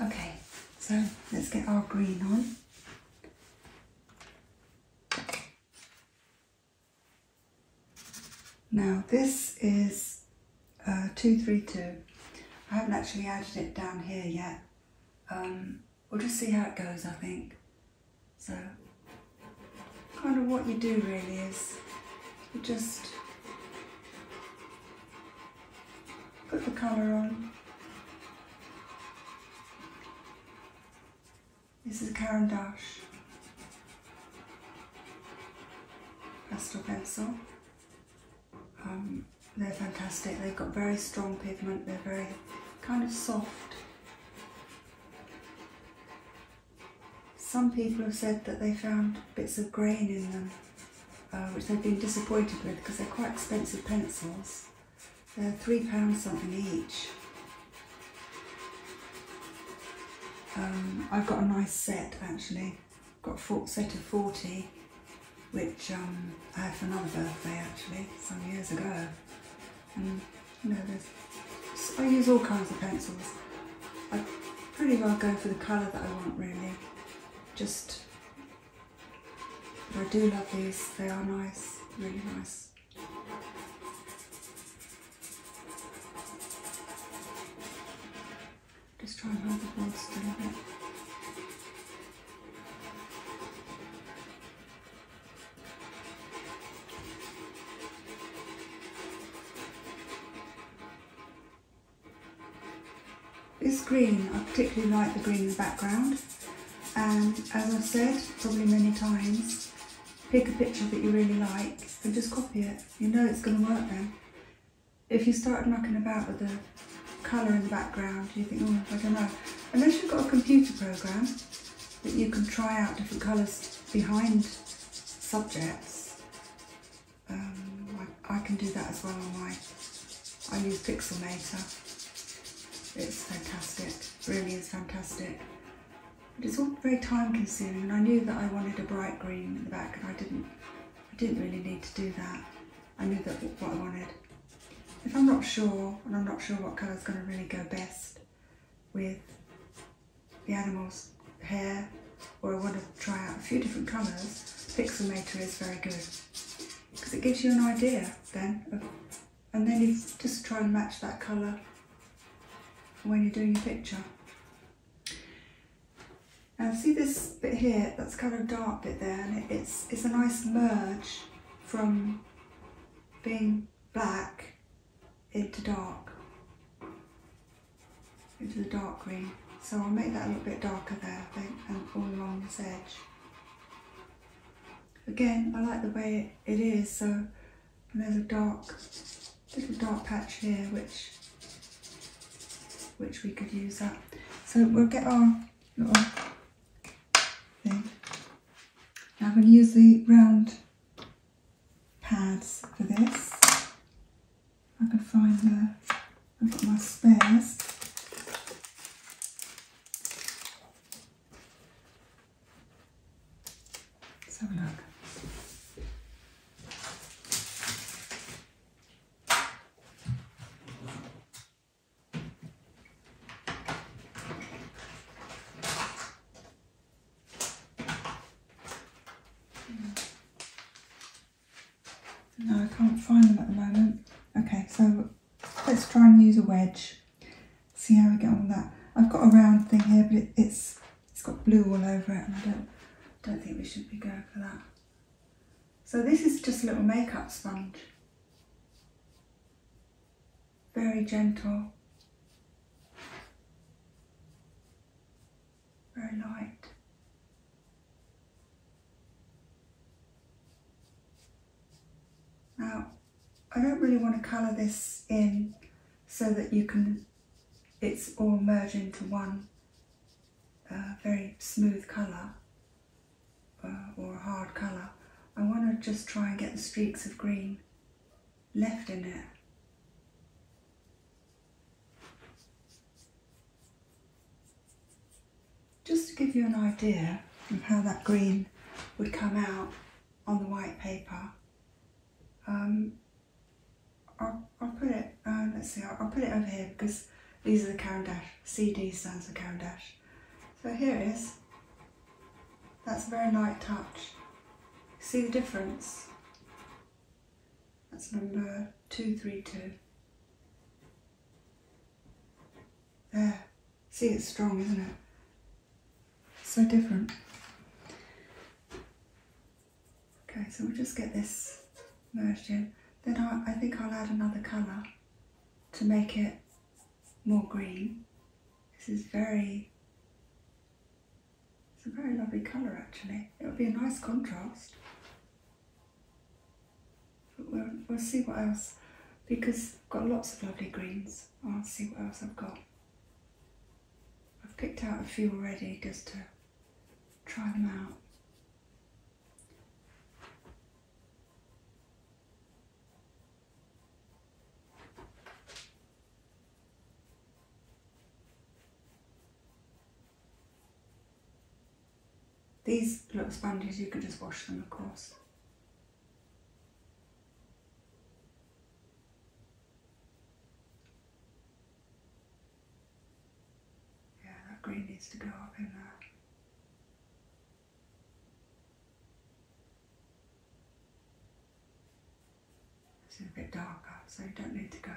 Okay, so let's get our green on. Now this is 232. Uh, I haven't actually added it down here yet. Um, we'll just see how it goes, I think. So, kind of what you do really is you just Put the color on. This is Caran d'Ache pastel pencil. Um, they're fantastic. They've got very strong pigment. They're very kind of soft. Some people have said that they found bits of grain in them. Uh, which they've been disappointed with because they're quite expensive pencils. They're £3 something each. Um, I've got a nice set actually. got a full set of 40, which um, I had for another birthday actually, some years ago. And you know, I use all kinds of pencils. I pretty well go for the colour that I want really. Just I do love these, they are nice, really nice. Just try and hold the board still it's green, I particularly like the green in the background. And as I've said, probably many times, pick a picture that you really like and just copy it. You know it's going to work then. If you start mucking about with the colour in the background, you think, oh, I don't know. Unless you've got a computer program that you can try out different colours behind subjects, um, I, can do that as well My I use Pixelmator. It's fantastic, really is fantastic. But it's all very time consuming and I knew that I wanted a bright green in the back and I didn't, I didn't really need to do that. I knew that what I wanted. If I'm not sure, and I'm not sure what colour is going to really go best with the animal's hair, or I want to try out a few different colours, Pixelmator is very good because it gives you an idea then and then you just try and match that colour when you're doing your picture. And see this bit here, that's kind of dark bit there and it's, it's a nice merge from being black into dark, into the dark green. So I'll make that a little bit darker there, I think, and all along this edge. Again, I like the way it is, so there's a dark, little dark patch here, which, which we could use up. So we'll get our little thing. I'm going to use the round pads for this. I can find the I've got my spares. have a look. No, I can't find them at the moment. Okay, so let's try and use a wedge. See how we get on with that. I've got a round thing here, but it, it's it's got blue all over it, and I don't don't think we should be going for that. So this is just a little makeup sponge. Very gentle. Very light. Now, I don't really want to colour this in so that you can, it's all merged into one uh, very smooth colour uh, or a hard colour. I want to just try and get the streaks of green left in it. Just to give you an idea of how that green would come out on the white paper, um, I'll, put it, uh, let's see, I'll, put it over here because these are the Caran d'Ache. CD stands for Caran d'Ache. So here it is. That's a very light touch. See the difference? That's number 232. There. See, it's strong, isn't it? So different. Okay, so we'll just get this merged in. Then I, I think I'll add another colour to make it more green. This is very, it's a very lovely colour actually. It would be a nice contrast. We'll, see what else, because I've got lots of lovely greens. I'll see what else I've got. I've picked out a few already just to try them out. These little sponges, you can just wash them, of course. Yeah, that green needs to go up in there. It's a bit darker, so you don't need to go,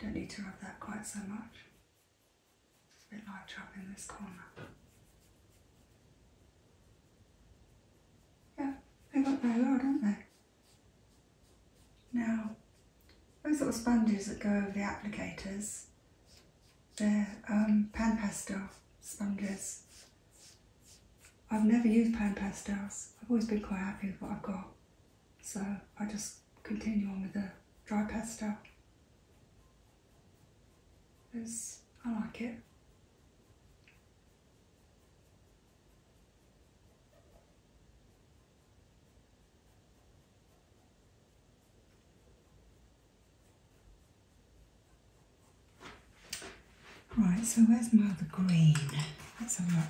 don't need to rub that quite so much. It's a bit light trouble in this corner. Yeah, they've got their load, haven't they? Now, those little sponges that go over the applicators, they're um, pan pastel sponges. I've never used pan pastels. I've always been quite happy with what I've got. So I just continue on with the dry pastel. It's, I like it. Right, so where's my other green? Let's have a look.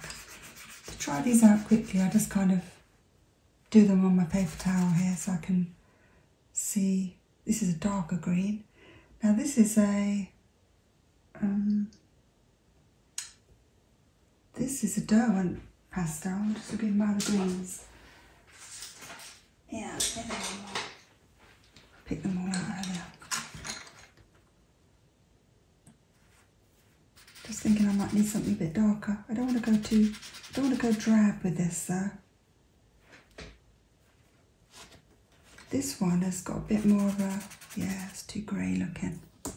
To try these out quickly, I just kind of do them on my paper towel here so I can see. This is a darker green. Now this is a, um, this is a Derwent pastel. I'm just looking by the greens. Yeah, Pick them all out earlier. Just thinking I might need something a bit darker. I don't want to go too, I don't want to go drab with this though. This one has got a bit more of a, yeah, it's too grey looking. But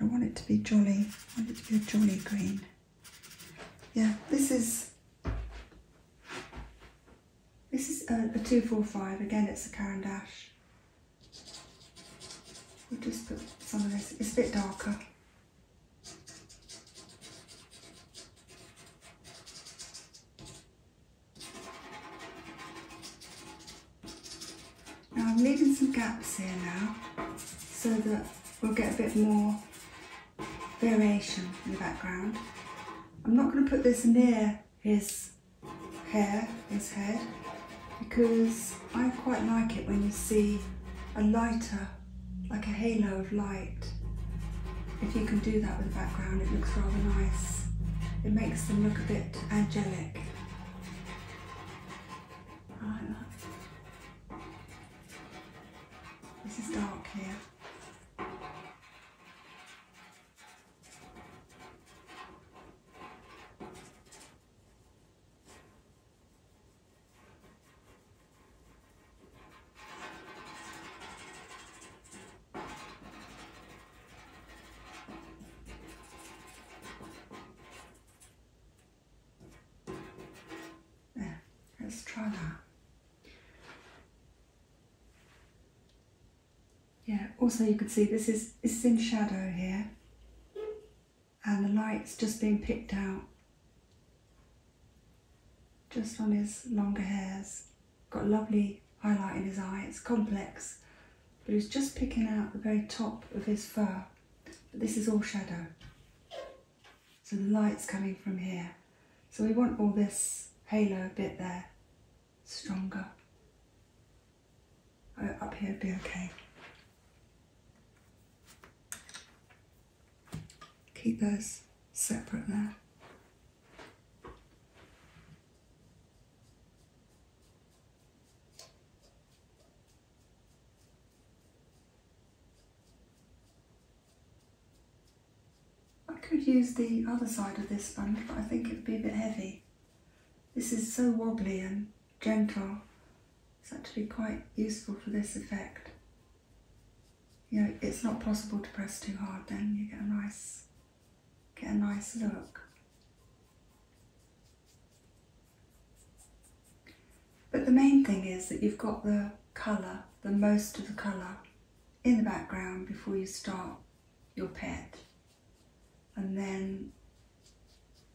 I want it to be jolly, I want it to be a jolly green. Yeah, this is, this is a, 245, again it's a Caran dash. We'll just put some of this, it's a bit darker. Now I'm leaving some gaps here now so that we'll get a bit more variation in the background. I'm not going to put this near his hair, his head, because I quite like it when you see a lighter like a halo of light. If you can do that with the background, it looks rather nice. It makes them look a bit angelic. I This is dark here let's try that. Yeah, also you can see this is, this is in shadow here and the light's just being picked out just on his longer hairs. Got lovely highlight in his eye, it's complex, but it's just picking out the very top of his fur. But this is all shadow. So the light's coming from here. So we want all this halo bit there, stronger. up here would be okay. Keep those separate there. I could use the other side of this sponge, but I think it would be a bit heavy. This is so wobbly and gentle. It's actually quite useful for this effect you know, it's not possible to press too hard then you get a nice get a nice look. But the main thing is that you've got the colour, the most of the colour in the background before you start your pet. And then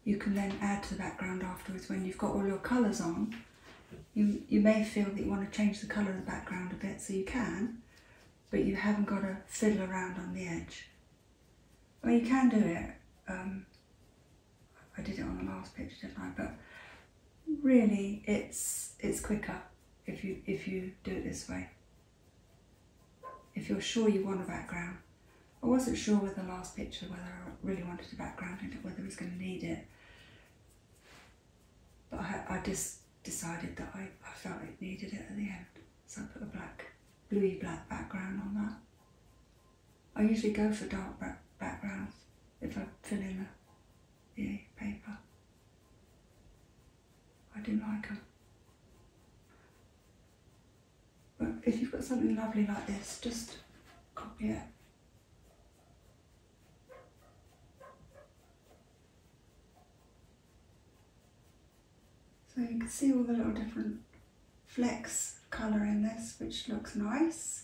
you can then add to the background afterwards when you've got all your colours on you, you may feel that you want to change the colour of the background a bit, so you can, but you haven't got to fiddle around on the edge. Well, you can do it. Um, I did it on the last picture, didn't I? But really, it's it's quicker if you if you do it this way. If you're sure you want a background. I wasn't sure with the last picture whether I really wanted a background and whether I was going to need it. But I, just decided that I, felt it needed it at the end. So I put a black, bluey black background on that. I usually go for dark backgrounds if I fill in the, the paper. I do like them. But if you've got something lovely like this, just copy it so you can see all the little different flecks of colour in this, which looks nice.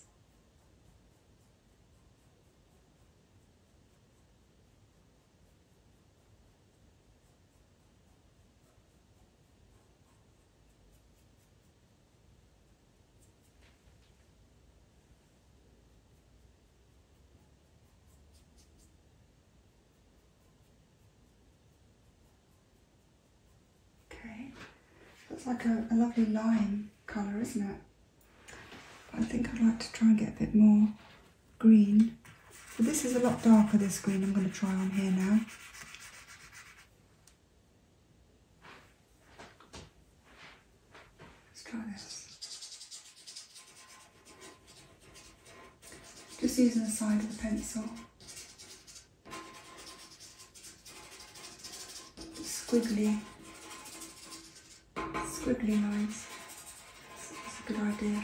Okay, that's like a, a lovely lime colour, isn't it? I think I'd like to try and get a bit more green. But this is a lot darker, this green I'm going to try on here now. Let's try this. Just using the side of the pencil. Squiggly, squiggly lines. It's a good idea.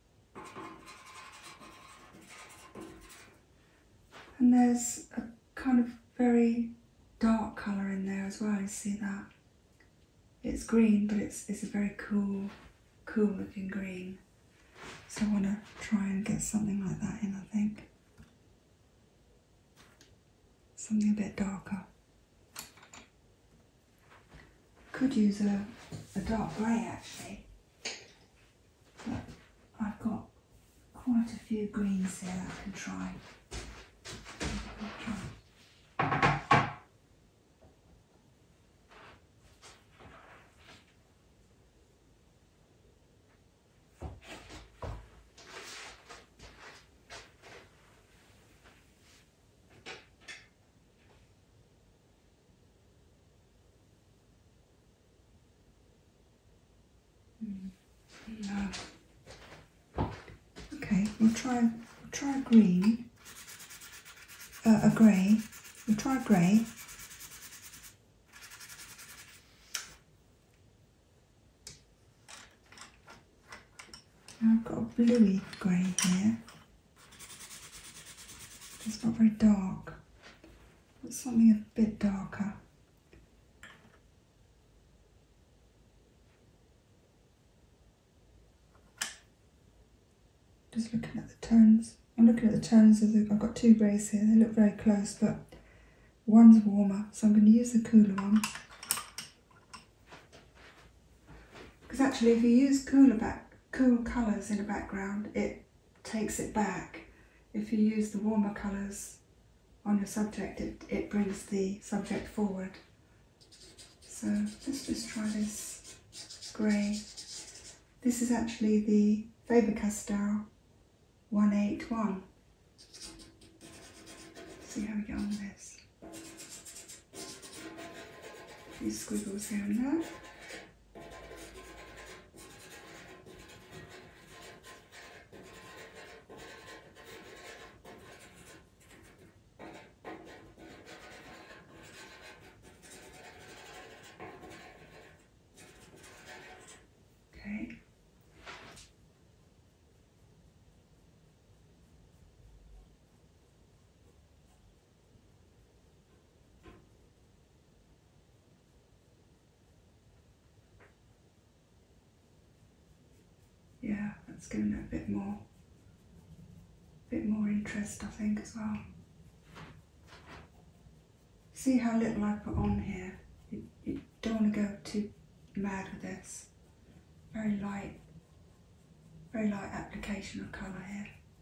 And there's a kind of very dark colour in there as well, you see that? It's green, but it's, it's a very cool, cool looking green. So I want to try and get something like that in, I think. Something a bit darker. Could use a, dark grey actually, but I've got quite a few greens here that I can try. Mm. Okay, we'll try try a green, uh, a grey. We'll try a grey. I've got a bluey grey here. It's not very dark. But something a bit darker. Just looking at the tones. I'm looking at the tones I've got two grays here. They look very close, but one's warmer, so I'm going to use the cooler one. Because actually, if you use cooler back cool colours in the background, it takes it back. If you use the warmer colours on your subject, it, it brings the subject forward. So let's just try this grey. This is actually the Faber-Castell 181. See how we get on with this few squiggles down there. Okay. Yeah, that's giving it a bit more, a bit more interest I think as well. See how little I put on here. You, you don't want to go too mad with this. Very light, very light application of colour here.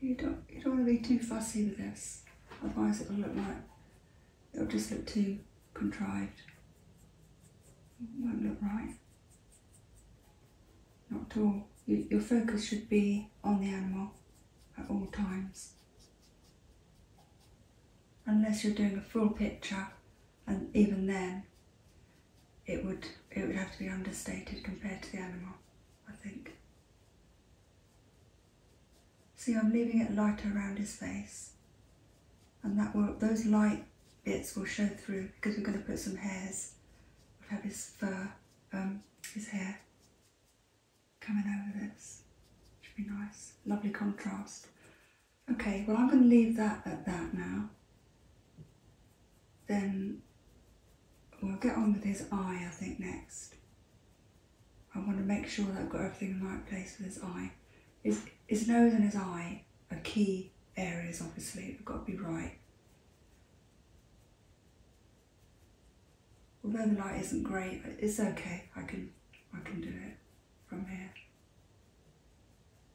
You don't, you don't want to be too fussy with this, otherwise it'll look like, it'll just look too contrived. It won't look right. Not at all. your focus should be on the animal at all times. Unless you're doing a full picture, and even then, it would, it would have to be understated compared to the animal, I think. See, I'm leaving it lighter around his face. And that will, those light bits will show through because we're going to put some hairs. We'll have his fur, um, his hair coming over this. Should be nice. Lovely contrast. Okay, well I'm going to leave that at that now then we'll get on with his eye, I think, next. I want to make sure that I've got everything in the right place with his eye. His, his nose and his eye are key areas, obviously, they've got to be right. Although the light isn't great, it's okay, I can, I can do it from here.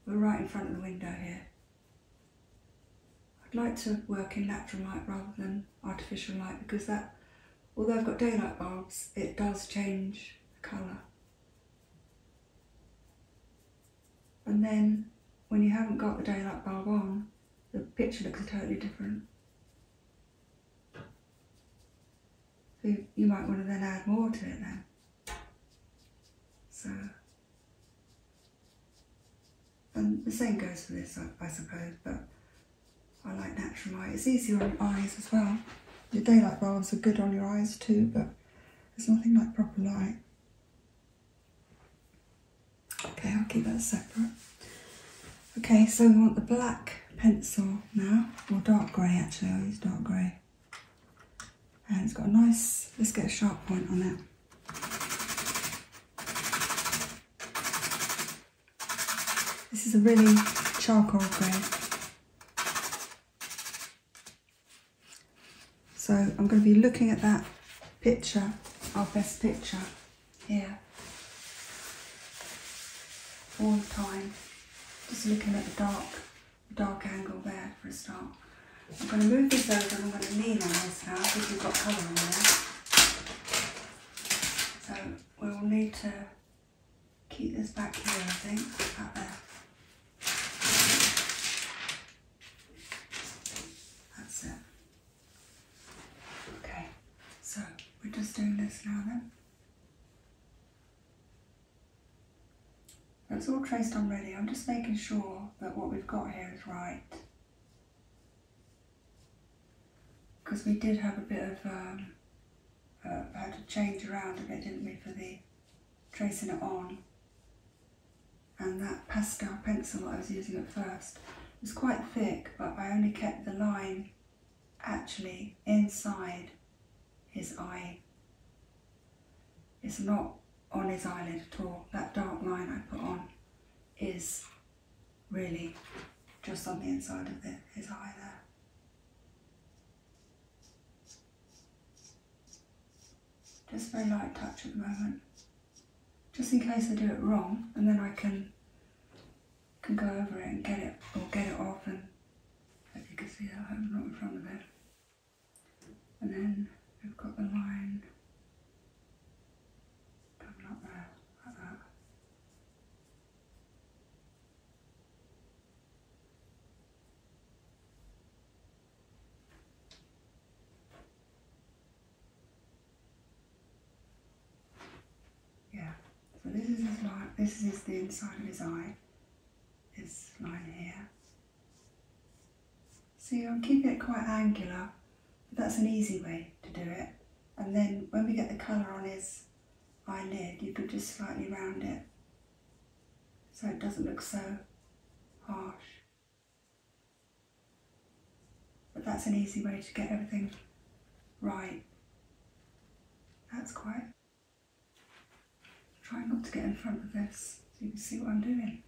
We're right in front of the window here. I'd like to work in natural light rather than artificial light because that, although I've got daylight bulbs, it does change the colour. And then when you haven't got the daylight bulb on, the picture looks totally different. you, you might want to then add more to it then. So and the same goes for this, I, suppose, but I like natural light. It's easier on your eyes as well. Your daylight bulbs are good on your eyes too, but there's nothing like proper light. Okay, I'll keep that separate. Okay, so we want the black pencil now, or dark grey actually, I'll dark grey. And it's got a nice, let's get a sharp point on it. This is a really charcoal grey. So I'm going to be looking at that picture, our best picture, here, all the time. Just looking at the dark, dark angle there for a start. I'm going to move this over and I'm going to lean on this now because we've got colour on there. So we will need to keep this back here, I think, That's it. Okay, so we're just doing this now then. That's all traced on ready. I'm just making sure that what we've got here is right. Because we did have a bit of, um, uh, had to change around a bit, didn't we, for the tracing it on. And that Pascal pencil I was using at first was quite thick, but I only kept the line actually inside his eye. It's not on his eyelid at all. That dark line I put on is really just on the inside of it, his eye there. Just very light touch at the moment. Just in case I do it wrong and then I can can go over it and get it or get it off and if you can see that I'm not in front of it. And then we've got the line yeah, so this is his line, this is the inside of his eye, this line here. See, I'm keeping it quite angular but that's an easy way to do it. And then when we get the colour on his eyelid, you can just slightly round it so it doesn't look so harsh. But that's an easy way to get everything right. That's quite. Try not to get in front of this so you can see what I'm doing.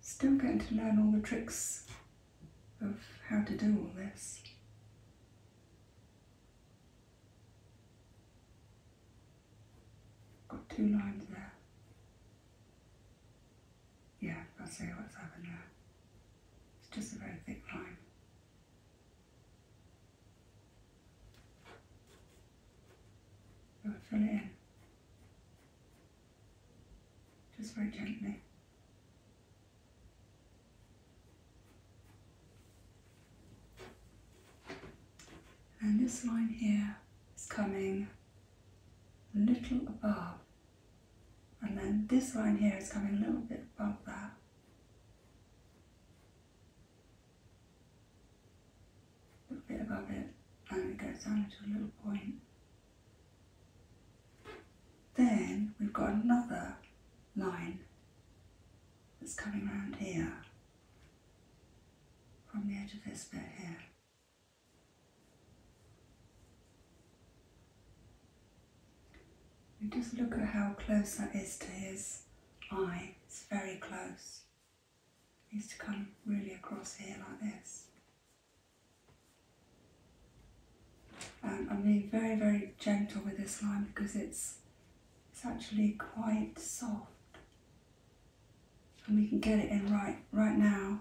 Still getting to learn all the tricks of how to do all this. Got two lines there. Yeah, I'll see what's happened there. It's just a very thick line. I'll in just very gently. And this line here is coming a little above, and then this line here is coming a little bit above that. A little bit above it, and it goes down to a little point. Then we've got another line that's coming around here from the edge of his bit here. just look at how close that is to his eye, it's very close. It needs to come really across here like this. Um, I'm being very, very gentle with this line because it's, it's actually quite soft. And we can get it in right, right now.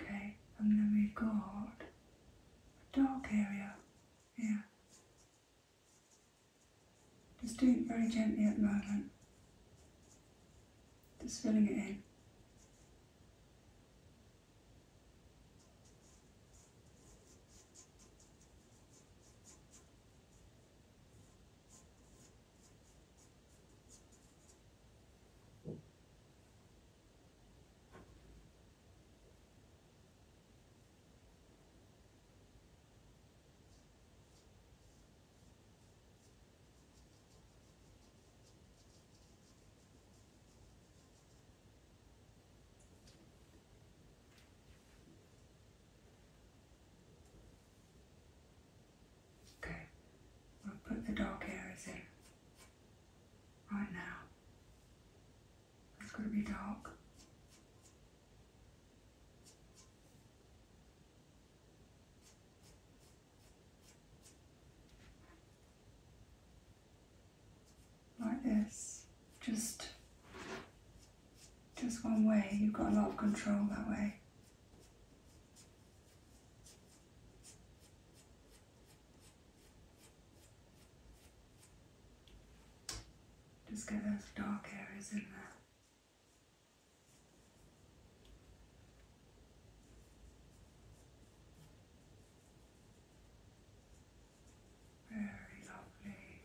Okay, and then we've got a dark area here just doing it very gently at the moment. Just filling it in. Okay, we'll put the dark areas in right now. It's going to be dark. Like this, just just one way. You've got a lot of control that way. Just get those dark areas in there. Very lovely.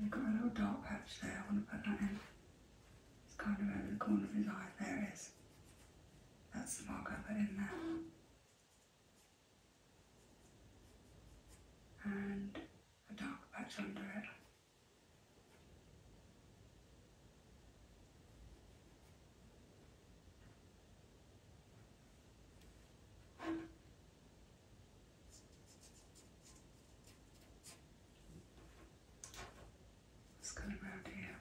We've got a little dark patch there, I want to put that in. It's kind of over the corner of his eye. There is. That's the mark I put in there. And a dark patch under it. Let's go around here.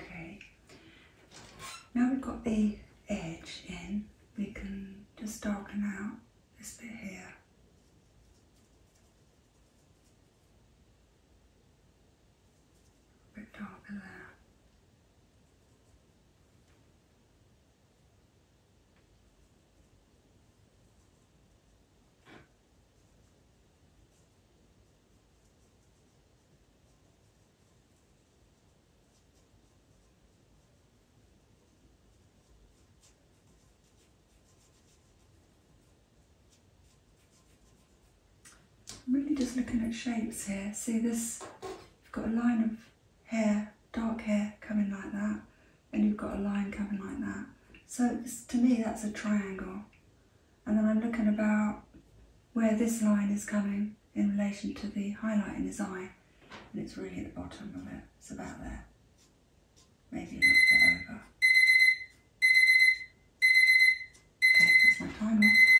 Okay, now we've got the edge in, we can just darken out this bit here a bit darker there. I'm really just looking at shapes here. See this, you've got a line of hair, dark hair coming like that, and you've got a line coming like that. So to me, that's a triangle. And then I'm looking about where this line is coming in relation to the highlight in his eye. And it's really at the bottom of it. It's about there. Maybe a little bit over. Okay, that's my time